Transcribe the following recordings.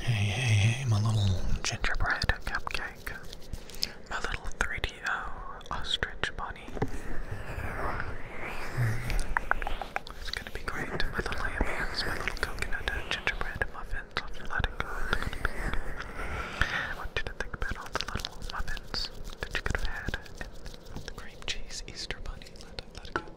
Hey, hey, hey, my little gingerbread cupcake. My little 3DO ostrich bunny. It's gonna be great. My little lamb hands, my little coconut gingerbread muffins. I'll let it go. I want you to think about all the little muffins that you could have had. the cream cheese Easter bunny. Let it, let it go.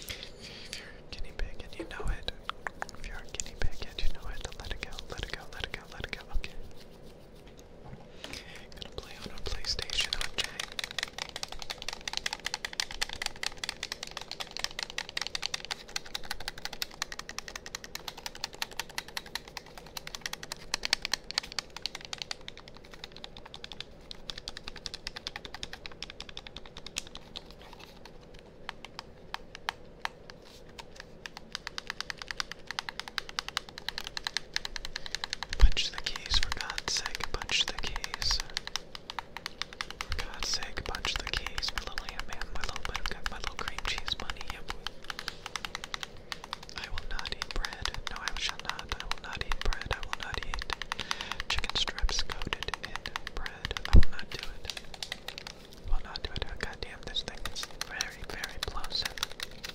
If you're a guinea pig and you know it, if you're a guinea pig and you know it, let it go, let it go, let it go, let it go. Okay. I'm gonna play on a PlayStation, okay? Punch the keys, for God's sake, punch the keys. For God's sake, punch the keys. My little ham man, my little buttercup, my little cream cheese bunny, yep. I will not eat bread. No, I shall not. I will not eat bread. I will not eat chicken strips coated in brown I will not do it. Will not do it. Oh, God damn, this thing is very, very plosive. Let it go,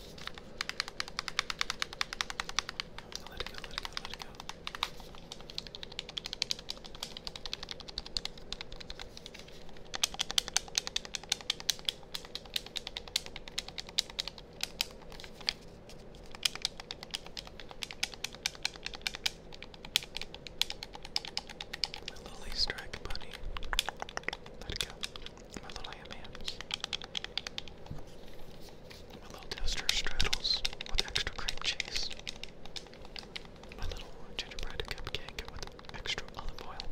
let it go, let it go. My little Easter bunny. Let it go. My little AMAMs. My little toaster straddles with extra cream cheese. My little gingerbread cupcake with extra olive oil.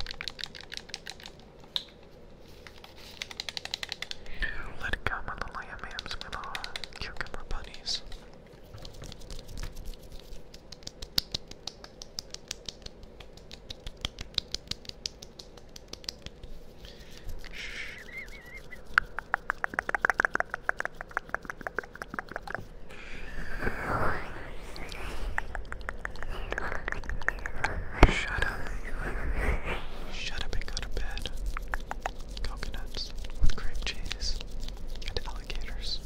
Let it go, my little AMAMs, my little cucumber bunny. Jeez. Shut up. Shut up and go to bed coconuts with cream cheese and alligators.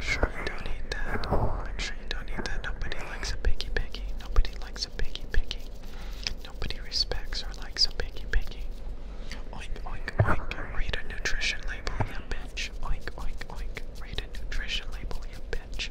sure you don't eat that. sure you don't eat that. Nobody likes a piggy piggy. Nobody likes a piggy piggy. Nobody respects or likes a piggy piggy. Oink oink oink. Read a nutrition label, you bitch. Oink oink oink. Read a nutrition label, you bitch.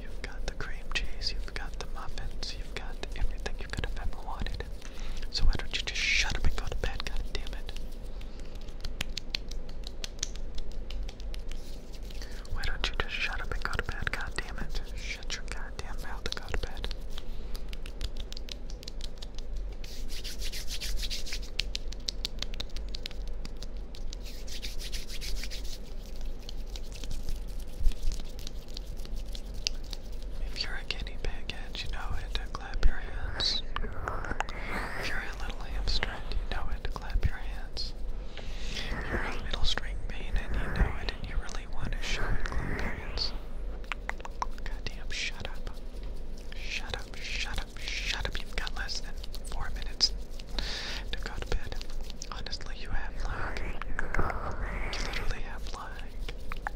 You've got the cream cheese, you've got the muffins, you've got everything you could have ever wanted. So why don't you just shut up and go to bed, god it. Why don't you just shut up and go to bed? God damn it. Shut your goddamn mouth and go to bed. If you're a guinea pig and you know it, clap your hands. If you're a little hamster and you know it, clap your hands. You're a little string pain, and you know it and you really want to show it, Glowberries. Goddamn, shut up. Shut up, shut up, shut up. You've got less than four minutes to go to bed. Honestly, you have like. You literally have like.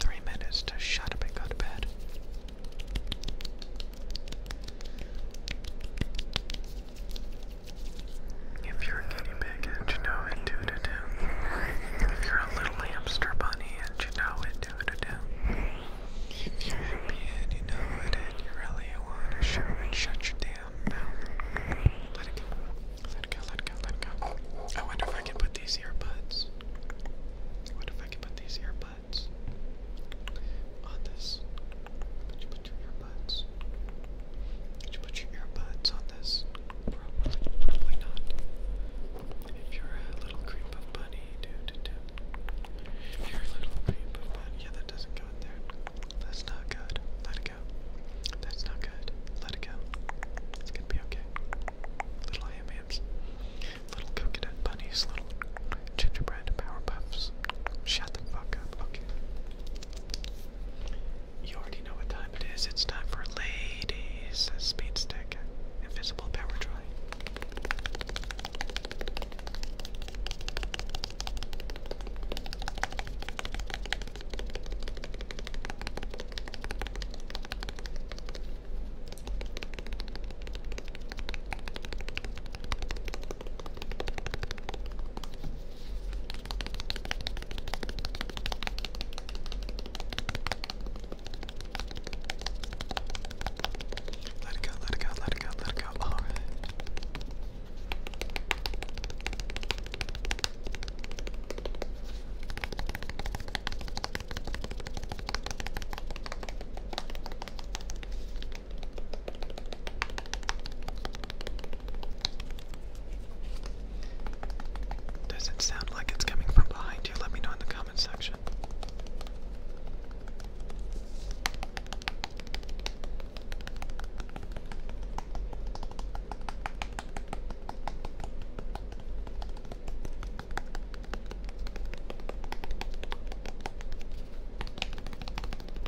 Three minutes to shut up and go to bed. If you're a guinea pig and you know it, do it a do. If you're a little hamster bunny and you know it, do it a do. If you're happy and you know it and you really want to show it, shut your damn mouth. Let it go. Let it go, let it go, let it go. I wonder if I can put these earbuds. What if I can put these earbuds on this? Put your, put your put your earbuds on this? Probably, probably not. If you're a little creep of bunny, do do do. If you're a little creep of bunny, yeah, that doesn't go in there. That's not good. Let it go. That's not good. Let it go. It's gonna be okay. Little ham little coconut bunnies, little gingerbread power puffs. Shut the fuck up. Okay. You already know what time it is. It's time for ladies speed stick, invisible power dry. Let it go, let it go, let it go, let it go. All oh. right. Does it sound like it's coming from behind you? Let me know in the comment section.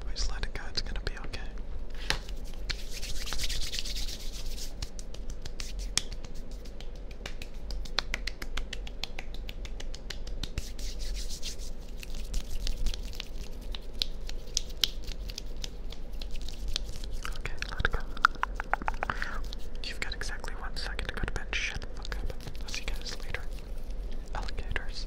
But just let it go, it's gonna be okay. Okay, let go. You've got exactly one second to go to bed. Shut the fuck up. see you guys later. Alligators.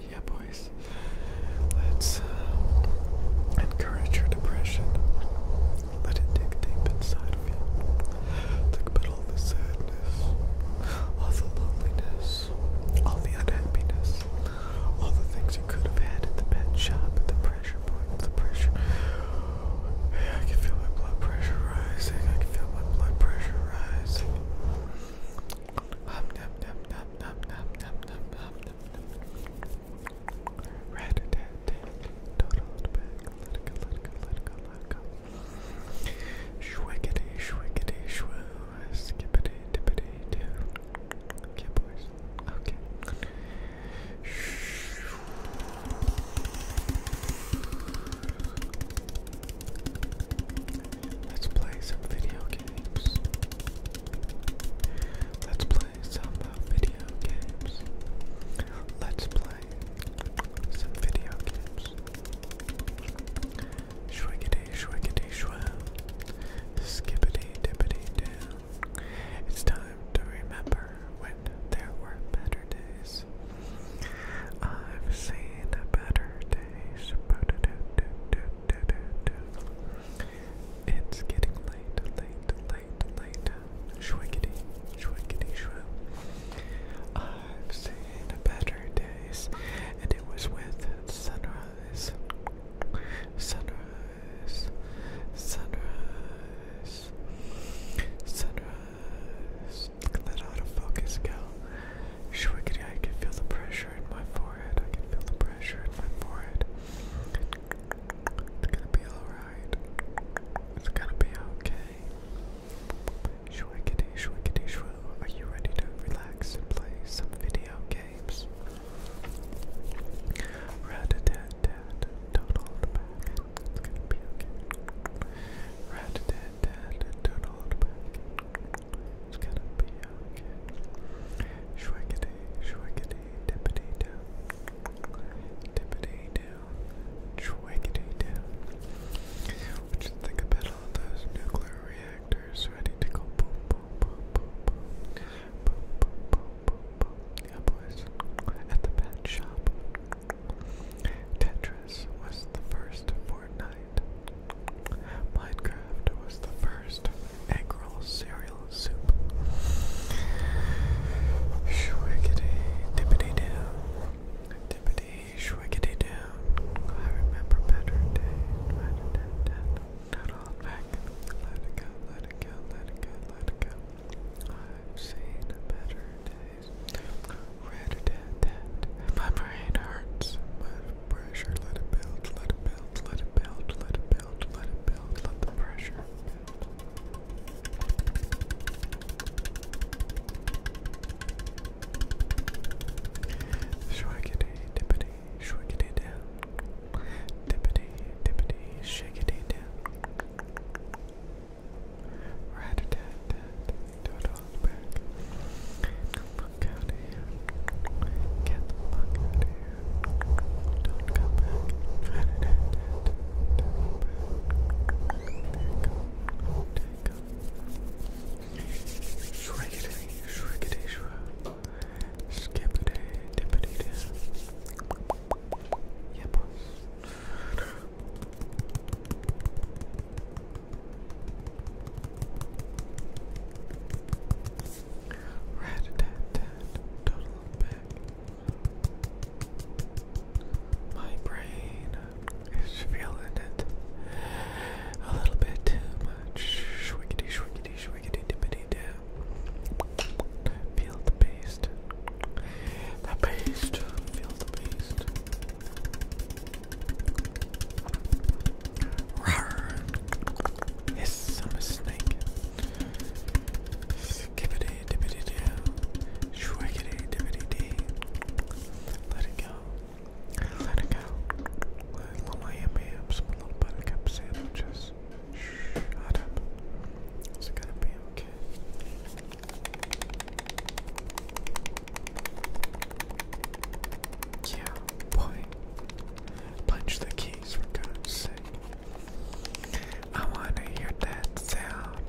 yeah, boys. Let's uh, encourage your depression. Let it dig deep inside of you. Think about all the sadness, all the loneliness, all the unhappiness, all the things you could have had at the pressure point, the pressure. Hey, I can feel my blood pressure rising. I can feel my blood pressure rising. Red Total back. Let it go, let it go, let it go, let it go. Shwiggity, shwiggity, shwoo. Skippity, tippity, doo. Get boys. Okay. Let's play some video games. Let's play some video games. Let's play some video games. Shwiggity, shwiggity, shwam. Skippity, It's time to remember when there were better days. I've seen better days. It's getting late, late, late, late. Shwiggity, shwiggity, shrew. I've seen better days, and it was with sunrise. Sunrise, sunrise, sunrise. Yes. Look at that go. Shwiggity, I can feel the pressure in my forehead. I can feel the pressure in my forehead. It's gonna be alright. It's gonna be okay. Shwiggity, shwiggity, shwoo. Are you ready to relax and play some video games? Rat a tat tat. Don't It's gonna be okay. Rat a tat and then turn back. It's gonna be okay. Shwaggity, shwaggity, dippity down. Dippity down. Shwaggity down. What think about all those nuclear reactors ready to go boom, boom, boom, boom, boom. Boom, boom, boom, boom, boom. Yeah, boys. At the pet shop. Tetris was the first 4 Minecraft was the first egg cereal soup. Shwiggity dippity down. Dippity shwiggity down. I remember better day. Not all back. Let it go, let it go, let it go, let it go. I've seen a better day. Red dead dead. My brain hurts. My pressure. Let it build. Let it build. Let it build. Let it build. Let it build. Let the pressure build. Shwiggity dippity, shwiggity down. Dippity, dippity, shake it down. Rat do it all back. Get the fuck out of here. Get the fuck out of here. Don't come back. Rat a tat tat, do it back. There you go. There you go. Shriggity, shriggity, shrug. Skippity, dippity, dip. Yeah, boss. Rat a tat tat, total back. My brain is feeling it a little bit too much. Shwiggity, shwiggity, shwiggity, dippity, Feel the paste. The paste. Feel the paste. Rawr. Yes, I'm a snake. Skippity dippity doo. Shwiggity dippity dee. Let it go. Let it go. Little lamb hams, little buttercup sandwiches. Shut up. It's gonna be okay. Yeah, boy. Punch the keys for God's sake. I wanna hear that sound.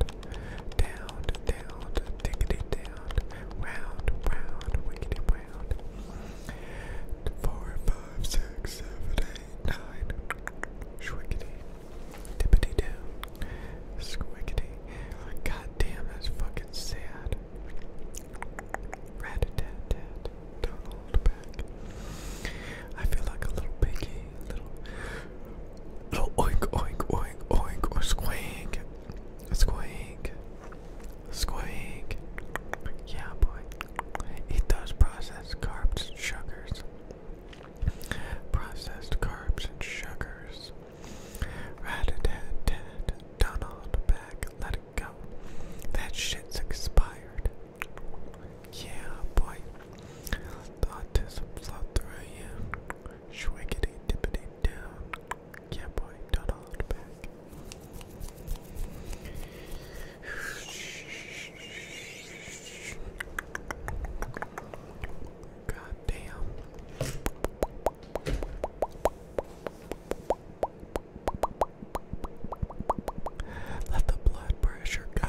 Down, down, tickety down, round, round, wickety round. Four, five, six, seven, eight, nine. Shwickety, Dippity doo. Squiggity. Goddamn, that's fucking sad. Rat Don't hold back. I feel like a little piggy. little. Little oink oink oink oink or squink. Squink. Squink. Yeah, boy. Eat those processed carbs sugars processed carbs and sugars. Rat a tat tat, done all the back, let it go. That shit's expired. Yeah, boy. The autism through you. Shwiggity dippity down. Yeah, boy, done all the back. God damn. Let the blood pressure go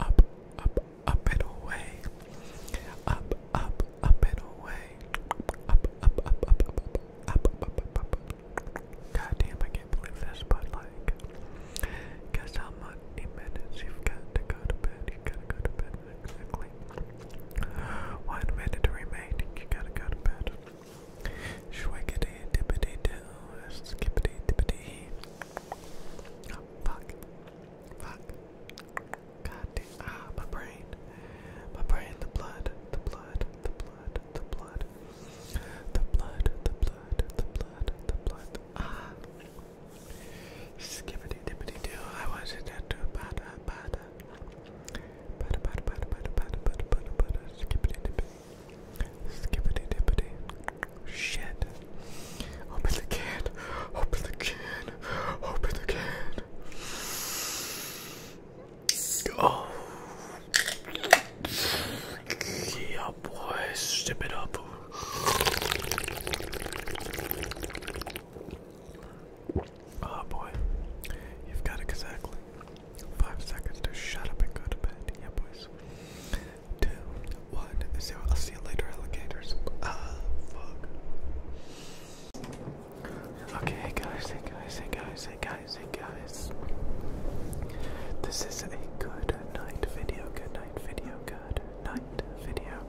up, up, up and away. Up, up, up and away. Up, up, up, up, up, up, up, up, up, up. God damn, I can't believe this, but like, Guess how many minutes you've got to go to bed? You gotta go to bed exactly. One minute remaining, you gotta go to bed. Shwiggity dippity doo, skippity dippity. Oh, fuck. Fuck. God Ah, my brain. My brain, the blood, the blood, the blood, the blood. The blood, the blood, the blood, the blood. Ah. Skippity dippity do. I wasn't that too bad. Bada bada bada bada bada bada bada bada bada skippity dippity. Skippity dippity. Shit. Open the can. Open the can. Open the can. Oh. Yeah, boys. Step it up. Oh boy, you've got exactly five seconds to shut up and go to bed. Yeah, boys. Two, one, zero. I'll see you later, alligators. Ah, fuck. Okay, hey guys, hey guys, hey guys, hey guys, hey guys. This is a good night video. Good night video. Good night video.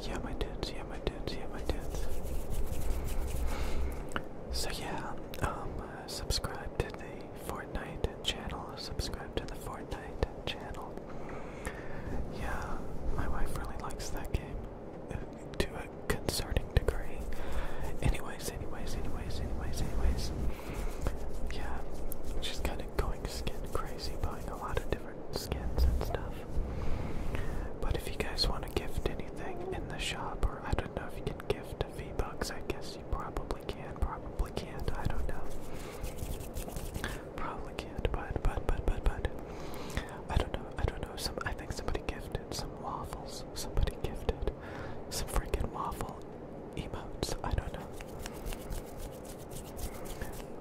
Yeah, my dudes, yeah, my dudes, yeah, my dudes. So, yeah, um, uh, subscribe to the Fortnite channel, subscribe to the Fortnite channel. Yeah, my wife really likes that game uh, to a concerning degree. Anyways, anyways, anyways, anyways, anyways. Yeah, she's kind of going skin crazy by now a lot of different skins and stuff. But if you guys want to gift anything in the shop, or I don't know if you can gift V Bucks, I guess you probably can, probably can't, I don't know. Probably can't, but, but, but, but, but. I don't know, I don't know. Some, I think somebody gifted some waffles. Somebody gifted some freaking waffle emotes. I don't know.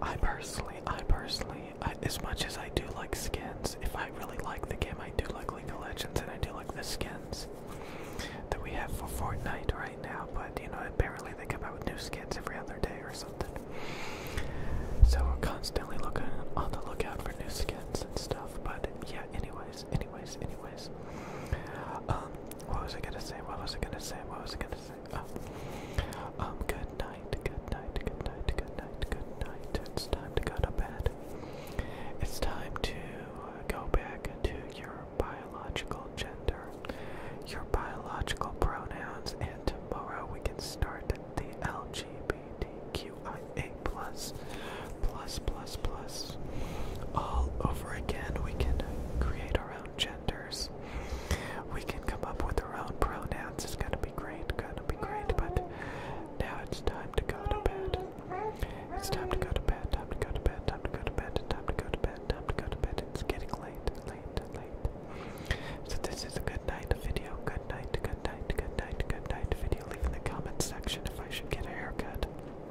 I personally, I personally, as much as I do like skins, if I really like the game, I do like League of Legends and I do like the skins that we have for Fortnite right now. But you know, apparently they come out with new skins every other day or something. So we're constantly looking on the lookout for new skins and stuff. But yeah, anyways, anyways, anyways. Um, what was I gonna say? What was I gonna say? What was I gonna say? Oh. Um, good night, good night, good night, good night, good night. It's time to go to bed. It's time to go back to your biological gender, your biological pronouns, and tomorrow we can start the LGBTQIA plus, plus, plus, plus. All over again, we can create our own gender. We can come up with our own pronouns. It's gonna be great, gonna be great, but now it's time to go to bed. It's time to go to bed, time to go to bed, time to go to bed, time to go to bed, time to go to bed. It's getting late, late, late. So this is a good night video. Good night, good night, good night, good night video. Leave in the comments section if I should get a haircut.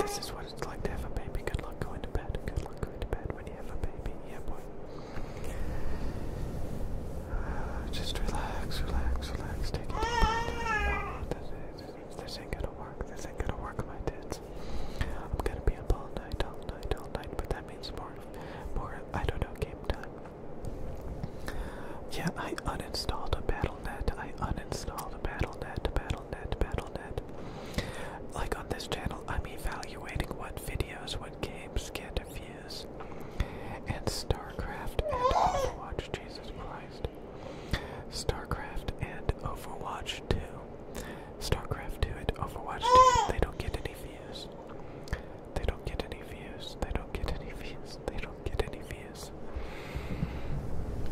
This is what it's like to have a baby. Good luck going to bed. Good luck going to bed when you have a baby. Yeah, boy. just relax, relax, relax. Take it. Oh, this, this, this gonna work. This ain't gonna work, my tits. I'm gonna be up all night, all night, all night. But that means more, more. I don't know. Game time. Yeah, I uninstalled a battle. Battle.net. I uninstalled Battle.net, Battle.net, Battle.net. Like on this channel, I'm evaluating what videos, what games get views. And StarCraft and Overwatch, Jesus Christ. StarCraft and Overwatch too. StarCraft 2 and Overwatch 2, they don't get any views. They don't get any views. They don't get any views they don't get any views.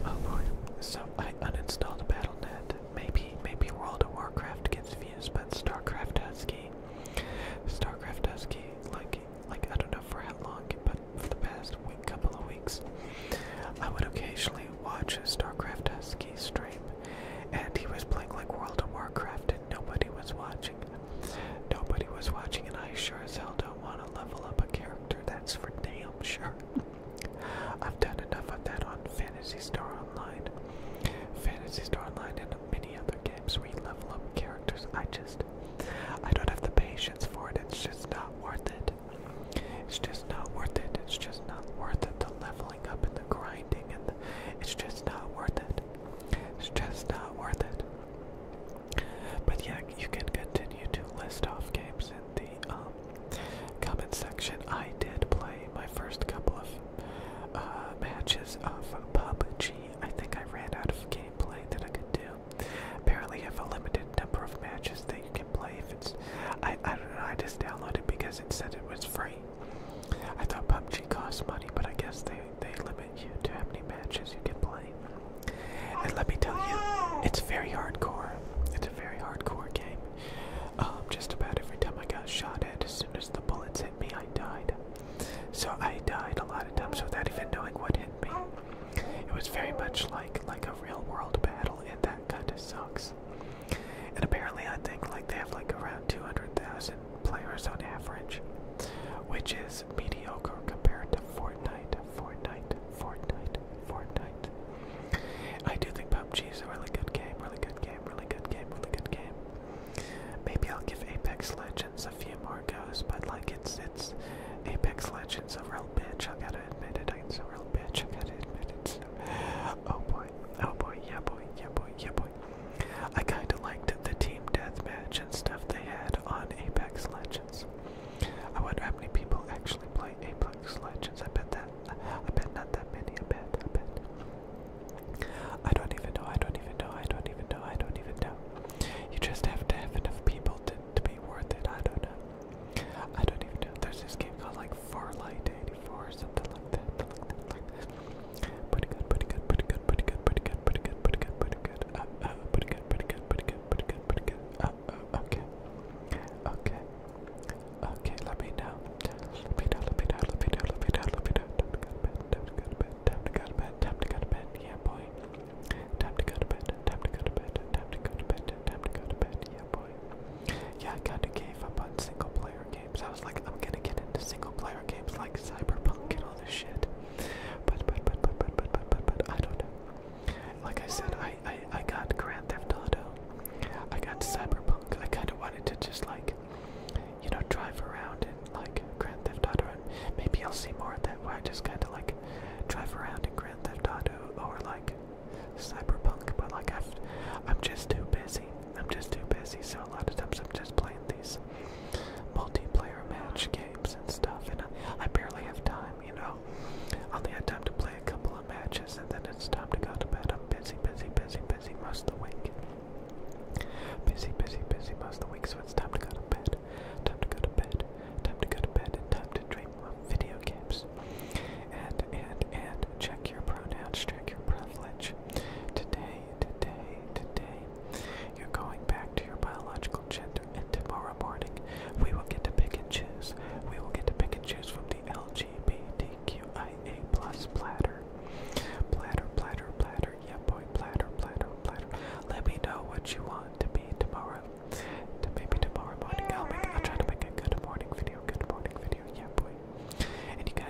Oh boy. So I uninstalled Battle.net. Maybe maybe World of Warcraft gets views, but StarCraft Husky. StarCraft Husky, like like I don't know for how long, but for the past week, couple of weeks, I would occasionally watch a StarCraft Husky stream, and he was playing like World of Warcraft, and nobody was watching. Nobody was watching, and I sure as hell don't want to level up a character, that's for damn sure. I've done enough of that on Fantasy Star Online. Fantasy Star Online and many other games where you level up characters. I just I don't have the patience for it. It's just not worth it. It's just not worth it. It's just not worth it. The leveling up and the grinding and the, it's just not worth it. It's just not worth it. But yeah, you can continue to list off games in the um, comment section. I did play my first couple of uh, matches of PUBG. I think I ran out of gameplay that I could do. Apparently, you have a limited number of matches that you can play. If it's, I, I don't know. I just downloaded because it said it was free. I thought PUBG cost money, but I guess they they limit you to how many matches you can play. And let me tell you, it's very hardcore. It's a very hardcore game. Um, just about every time I got shot at, as soon as the bullets hit me, I died. So I died a lot of times without even knowing what hit me. It was very much like like a real world battle, and that kind of sucks. And apparently, I think like they have like around 200,000 players on average, which is mediocre compared to Fortnite, Fortnite, Fortnite, Fortnite. I do think PUBG is a really good game, really good game, really good game, really good game. Maybe I'll give Apex Legends a few more goes, but like it's it's Apex Legends a real bitch. I gotta admit it. It's a real bitch. I gotta admit it. Oh boy, oh boy, yeah boy, yeah boy, yeah boy. I kind of liked the team deathmatch and stuff they had had on Apex Legends. I wonder how many people actually play Apex Legends. I bet that I bet not that many. I bet. I bet. I don't even know. I don't even know. I don't even know. I don't even know. You just have to have enough people to to be worth it. I don't know. I don't even know. There's this game called like Farlight 84 or something like that. Like that. Like that. Pretty good. Pretty good. Pretty good. Pretty good. Pretty good pretty good, pretty good, pretty good, uh, uh, pretty good, pretty good, pretty good, pretty good, pretty good, uh, uh, okay, okay, okay, let me know, let me know, let me know, let me know, let me know, let me know, time to go to bed, time to go to bed, time to go to bed, time to go to bed, yeah boy, time to go to bed, time to go to bed, time to go to bed, time to go to bed, yeah boy, yeah, I kinda gave up on single player games, I was like, I'm gonna get into single player games like Cyberpunk and all this shit. But but but but but but but but, I don't know. Like I said, I, I I got Grand Theft Auto, I got Cyberpunk. I kind of wanted to just like, you know, drive around and like Grand Theft Auto. And maybe I'll see more of that where I just kind of like drive around in Grand Theft Auto or like Cyberpunk. But like I'm just too busy. I'm just too busy. So a lot of times I'm just playing these multiplayer match games and stuff, and I, barely have time, you know. I only had time to play a couple of matches, and then it's time to go to bed. I'm busy, busy, busy, busy most of the week. Busy, busy, busy most of the week, so it's time to go to bed. Time to go to bed. Time to go to bed, and time to dream of video games. And, and, and, check your pronouns, check your privilege, Today, today, today, you're going back to your biological gender, and tomorrow morning, we will get to pick and choose. We will get to pick and choose from the LGBTQIA plus platter. Platter, platter, platter, yeah boy, platter, platter, platter. Let me know what you want to be tomorrow. maybe tomorrow morning I'll make I'll try to make a good morning video, good morning video, yeah boy. And you